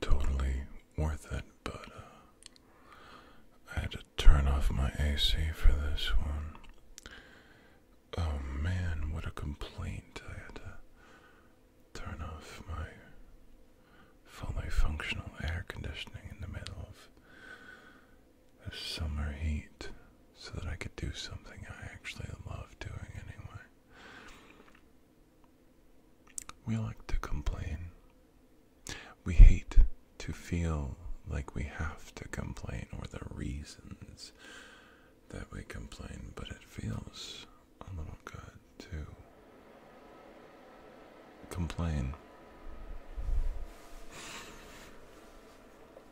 Totally worth it, but uh, I had to turn off my AC for this one. Oh man, what a complaint! I had to turn off my fully functional air conditioning in the middle of the summer heat so that I could do something I actually love doing anyway. We like to complain. We hate to feel like we have to complain or the reasons that we complain, but it feels a little good to complain.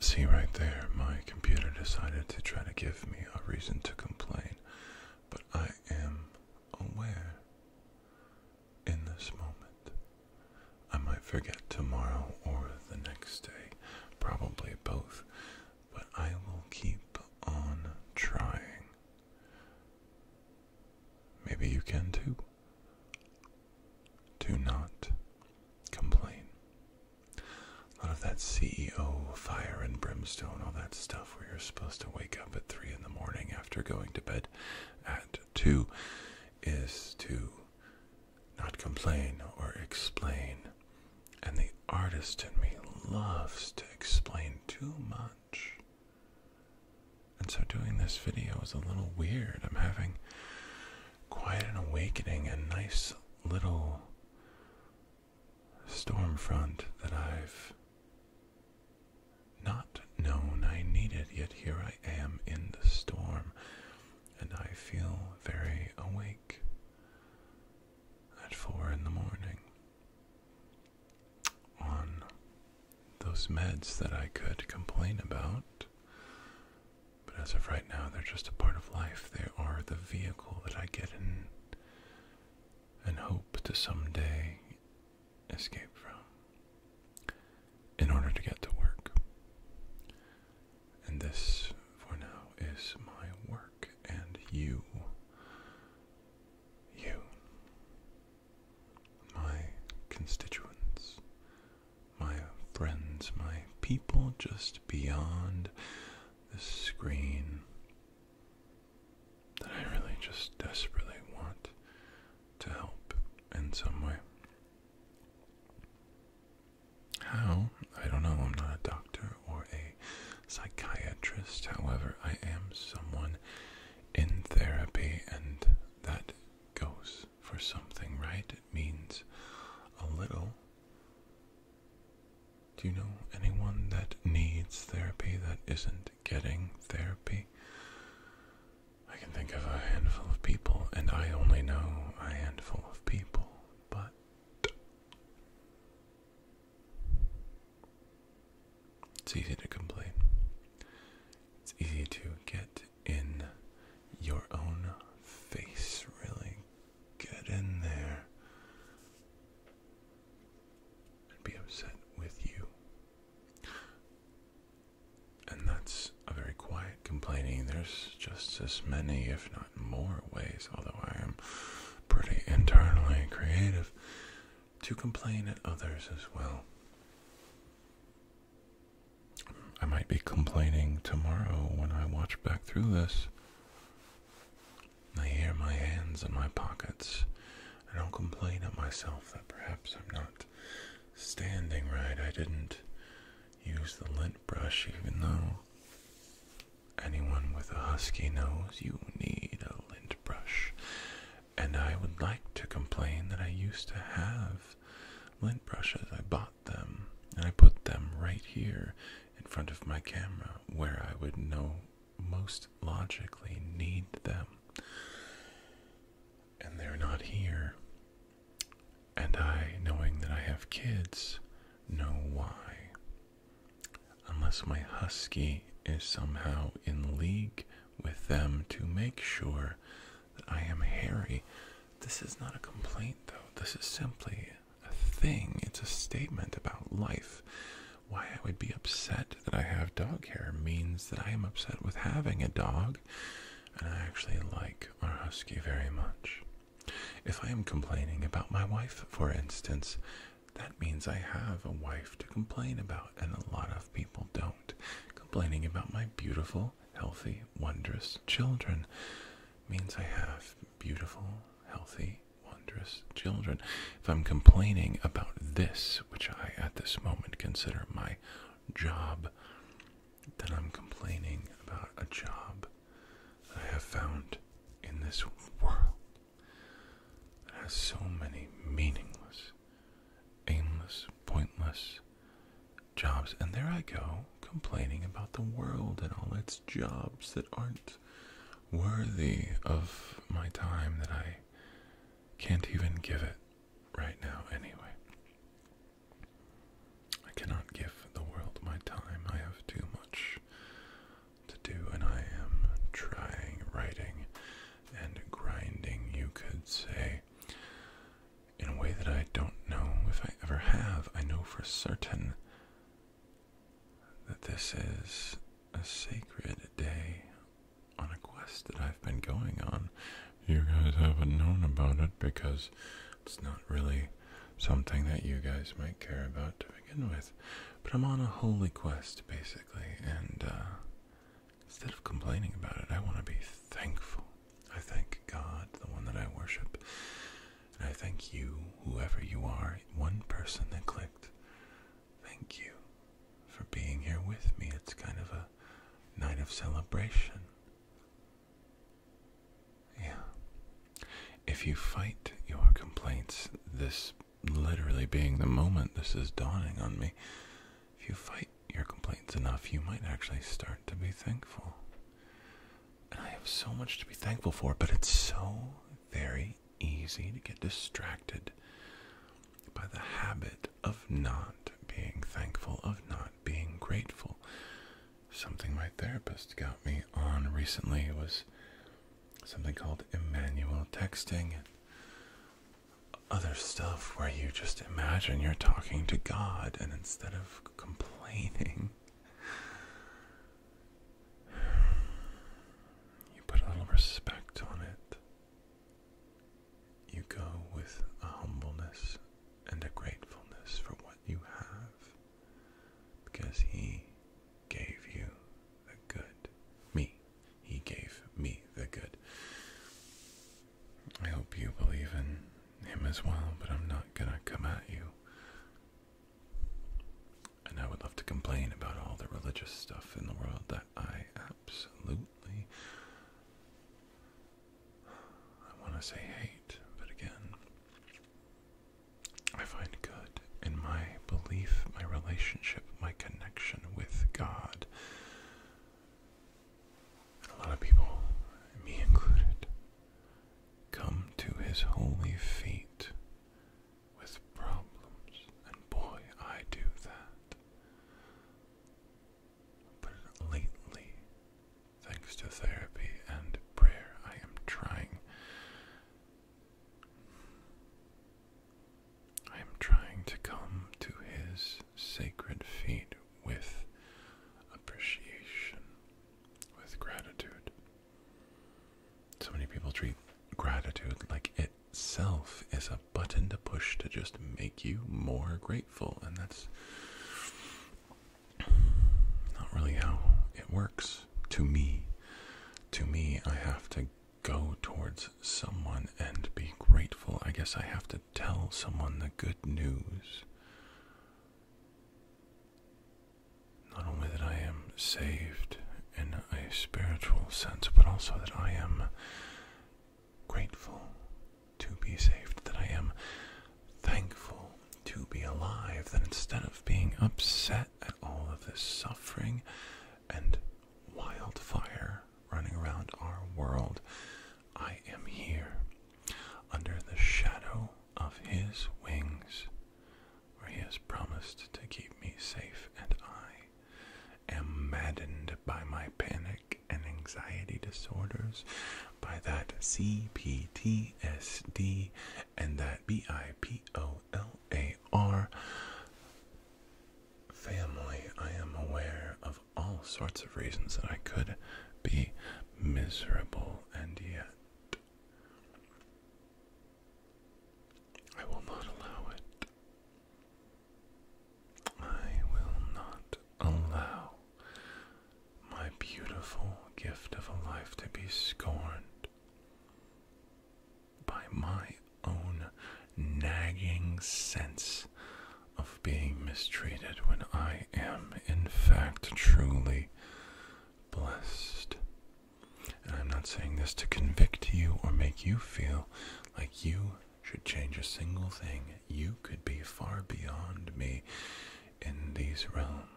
See right there, my computer decided to try to give me a reason to complain, but I am aware in this moment. I might forget tomorrow or the next day, probably both, but I will keep on trying. Maybe you can too. Do not complain. A lot of that CEO fire and brimstone, all that stuff where you're supposed to wake up at three in the morning after going to bed at two is to not complain or explain. And the artist in me loves to explain too much. And so doing this video is a little weird. I'm having quite an awakening, a nice little storm front that I've not known I needed, yet here I am in the storm, and I feel very awake at four in the morning on those meds that I could complain about but as of right now, they're just a part of life. They are the vehicle that I get in and hope to someday escape from in order to get to work. And this, for now, is my work, and you, you, my constituents, my friends, my people just beyond the screen that I really just desperately want to help in some way. How? I don't know. I'm not a doctor or a psychiatrist. However, I am someone in therapy, and that goes for something, right? It means a little. Do you know anyone that needs therapy that isn't getting therapy? I can think of a handful of people, and I only know a handful of people, but. It's easy to complain. It's easy to get in your own face. Really get in there and be upset with you. And that's a very quiet complaining. There's just as many, if not more, ways, although I am pretty internally creative, to complain at others as well. I might be complaining tomorrow when I watch back through this. I hear my hands in my pockets. I don't complain at myself that perhaps I'm not standing right. I didn't use the lint brush, even though anyone with a husky nose, you need a lint brush. And I would like to complain that I used to have lint brushes. I bought them and I put them right here in front of my camera where I would know most logically need them. And they're not here. And I, knowing that I have kids, know why. Unless my husky is somehow in league with them to make sure that I am hairy. This is not a complaint, though. This is simply a thing, it's a statement about life. Why I would be upset that I have dog hair means that I am upset with having a dog, and I actually like our husky very much. If I am complaining about my wife, for instance, that means I have a wife to complain about, and a lot of people don't. Complaining about my beautiful, healthy, wondrous children means I have beautiful, healthy, wondrous children. If I'm complaining about this, which I at this moment consider my job, then I'm complaining about a job I have found in this world that has so many meaningless, aimless, pointless, jobs. And there I go, complaining about the world and all its jobs that aren't worthy of my time that I can't even give it right now, anyway. I cannot give the world my time. I have too much to do, and I am trying, writing, and grinding, you could say in a way that I don't know if I ever have. I know for certain that this is a sacred day on a quest that I've been going on. You guys haven't known about it because it's not really something that you guys might care about to begin with. But I'm on a holy quest, basically, and uh, Instead of complaining about it, I want to be thankful. I thank God, the one that I worship. And I thank you, whoever you are, one person that clicked. Thank you for being here with me. It's kind of a night of celebration. Yeah. If you fight your complaints, this literally being the moment this is dawning on me, if you fight your complaints enough, you might actually start to be thankful. I have so much to be thankful for, but it's so very easy to get distracted by the habit of not being thankful, of not being grateful. Something my therapist got me on recently was something called Emmanuel texting other stuff where you just imagine you're talking to God and instead of complaining, you put a little respect on it. You go with a humbleness and a gratefulness for what you have because He gave you the good. Me. He gave me the good. I hope you believe in him as well, but I'm not gonna come at you. And I would love to complain about all the religious stuff in the world that I absolutely. I want to say hate, but again, I find good in my belief, my relationship, my connection with God and a lot of people, me included, come to his holy feet with problems, and boy, I do that. But lately, thanks to therapy and prayer, I am trying. I am trying to come to his sacred feet with appreciation, with gratitude. So many people treat gratitude like itself is a button to push to just make you more grateful, and that's not really how it works. To me, to me, I have to go towards someone and be grateful. I guess I have to tell someone the good news. Not only that I am saved in a spiritual sense, but also that I am grateful to be saved, that I am thankful to be alive, that instead of being upset at all of this suffering and wildfire running around our world, I am here under the shadow of his wings, where he has promised to keep me safe, and I am maddened by my panic and anxiety disorders, by that CPTSD and that BIPOLAR family, I am aware of all sorts of reasons that I could be miserable, and yet I will not allow it. I will not allow my beautiful gift of a life to be scorned by my own nagging sense of being mistreated when I am, in fact, truly blessed. And I'm not saying this to convict you or make you feel like you should change a single thing. You could be far beyond me in these realms.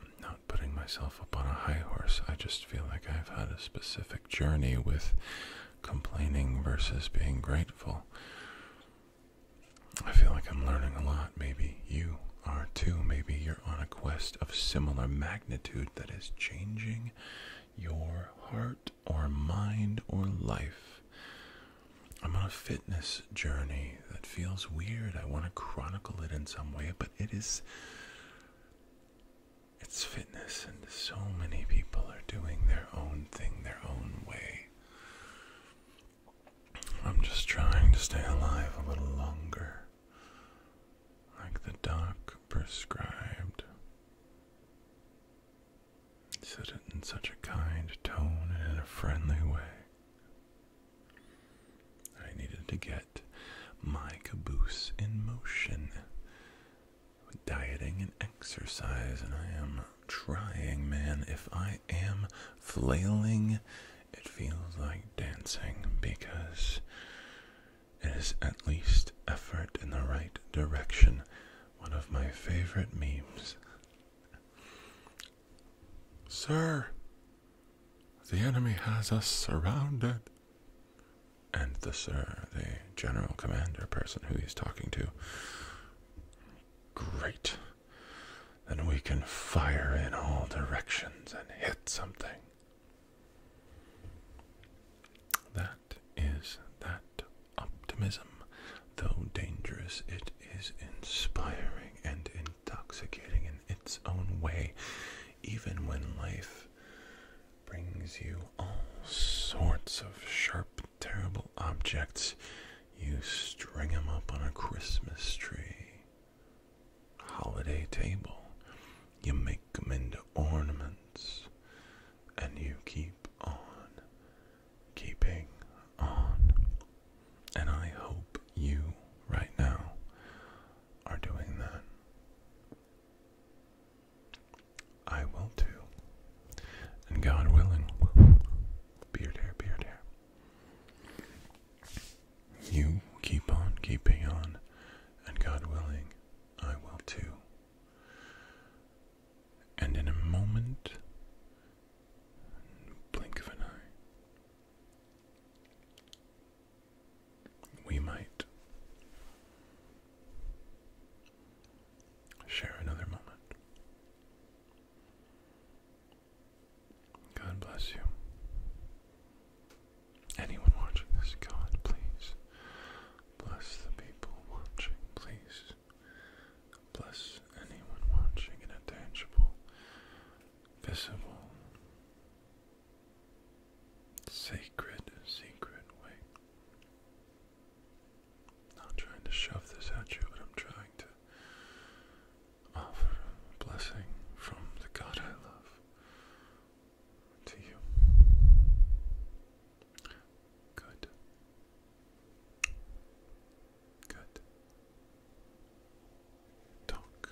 I'm not putting myself up on a high horse. I just just feel like I've had a specific journey with complaining versus being grateful. I feel like I'm learning a lot. Maybe you are too. Maybe you're on a quest of similar magnitude that is changing your heart or mind or life. I'm on a fitness journey that feels weird. I want to chronicle it in some way, but it is it's fitness, and so many people are doing their own thing their own way. I'm just trying to stay alive a little longer, like the doc prescribed. said it in such a kind tone and in a friendly way. I needed to get my caboose in motion. dieting and exercise, and I am trying, man. If I am flailing, it feels like dancing because it is at least effort in the right direction. One of my favorite memes. Sir, the enemy has us surrounded and the sir, the general commander person who he's talking to. Great. Then we can fire in all directions and hit something. That is that optimism. Though dangerous, it is inspiring and intoxicating in its own way, even when life brings you all sorts of sharp, terrible objects. You string them up on a Christmas tree, holiday table. You make them into ornaments, and you keep on keeping on. And I hope you right now are doing that. I will too. And God willing, beard hair, beard hair. You keep on keeping on, and God willing, I will too. And in a moment, blink of an eye, we might share another moment. God bless you. Anyone watching this, God, please bless the people watching, please bless anyone watching in a tangible, visible, Sacred, secret way. Not trying to shove this at you, but I'm trying to offer a blessing from the God I love to you. Good. Good. Talk.